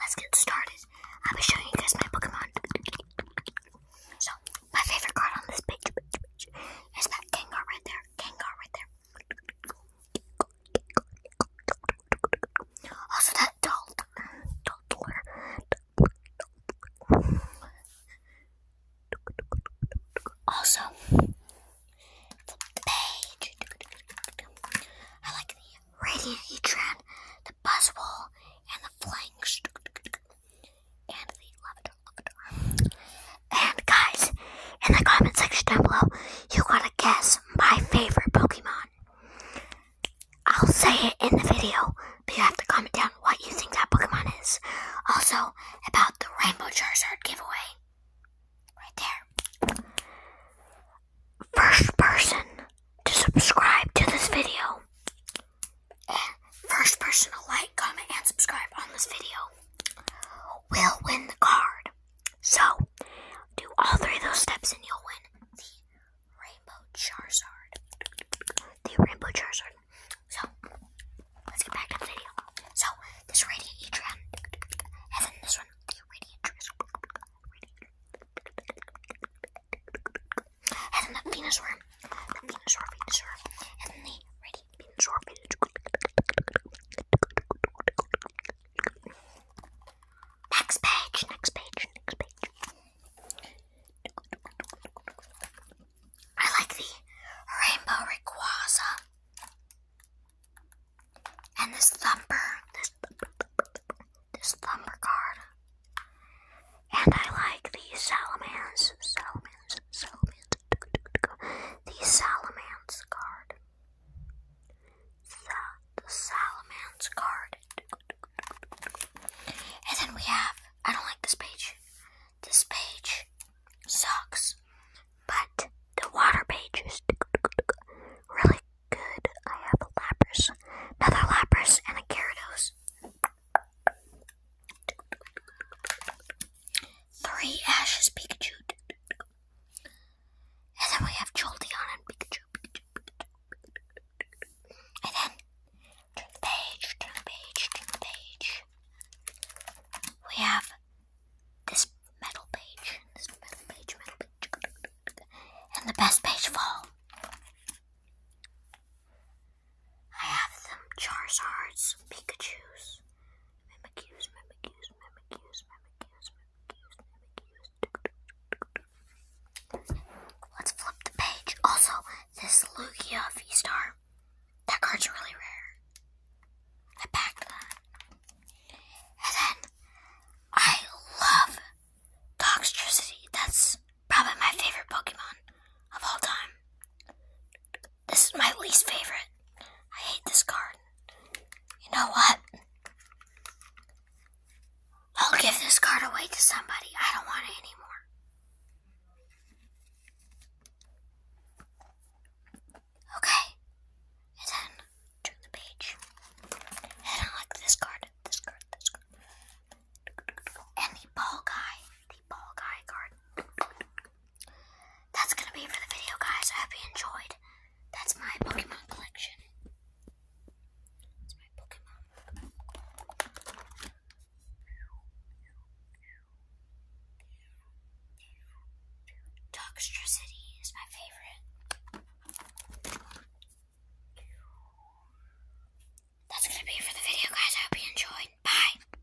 let's get started. I'll be showing you guys my Pokemon. So, my favorite card on this page, is that Gengar right there. Gengar right there. Also, that doll. Also, the a page. I like the radiant Etran, the buzzwall, and the flanks, and the lavender. And guys, in the comment section down below, you gotta guess my favorite Pokemon. I'll say it in the video, but you have to comment down what you think that Pokemon is. Also, about the Rainbow Charizard giveaway. Right there. First person to subscribe to this video. first person to like, comment, and subscribe on this video will win the card. So, do all three of those steps and you'll win the Rainbow Charizard. The Rainbow Charizard so, let's get back to the video. So, this radiant Etrium, and then this one, the radiant and then the Venusaur, the Venusaur, Venusaur, and then the radiant Venusaur, Venusaur. Next page, next page, next page. I like the rainbow Rayquaza and this thumper, this, thumper card. And I like the salamans, salamans, salamans, the salamans card. the salamans card. And then we have, I don't like this page. This page sucks. But the water page is really good. I have a Lapras, another Lapras, and a Gyarados. Three Ashes Pikachu. And then we have Jolteon and Pikachu, and then the page, page, page. We have this metal page, this metal page, metal page, and the best page of all. I have some Charizards, Pikachu's, Mimikyu's, Mimikyu's, Mimikyu's, Mimikyu's, Let's flip the page. Also, this Lugia v that card's really rare. I packed that. And then, I love Toxtricity. That's probably my favorite Pokemon of all time. This is my least favorite. I hate this card. You know what? I'll give this card away to somebody. I don't want it anymore. Okay. then turn the page. And I like this card. This card. This card. And the ball guy. The ball guy card that's gonna be for the video, guys. I hope you enjoyed. That's my Pokemon collection. That's my Pokemon. Dogster is my favorite. That's gonna be for the video, guys. I hope you enjoyed. Bye.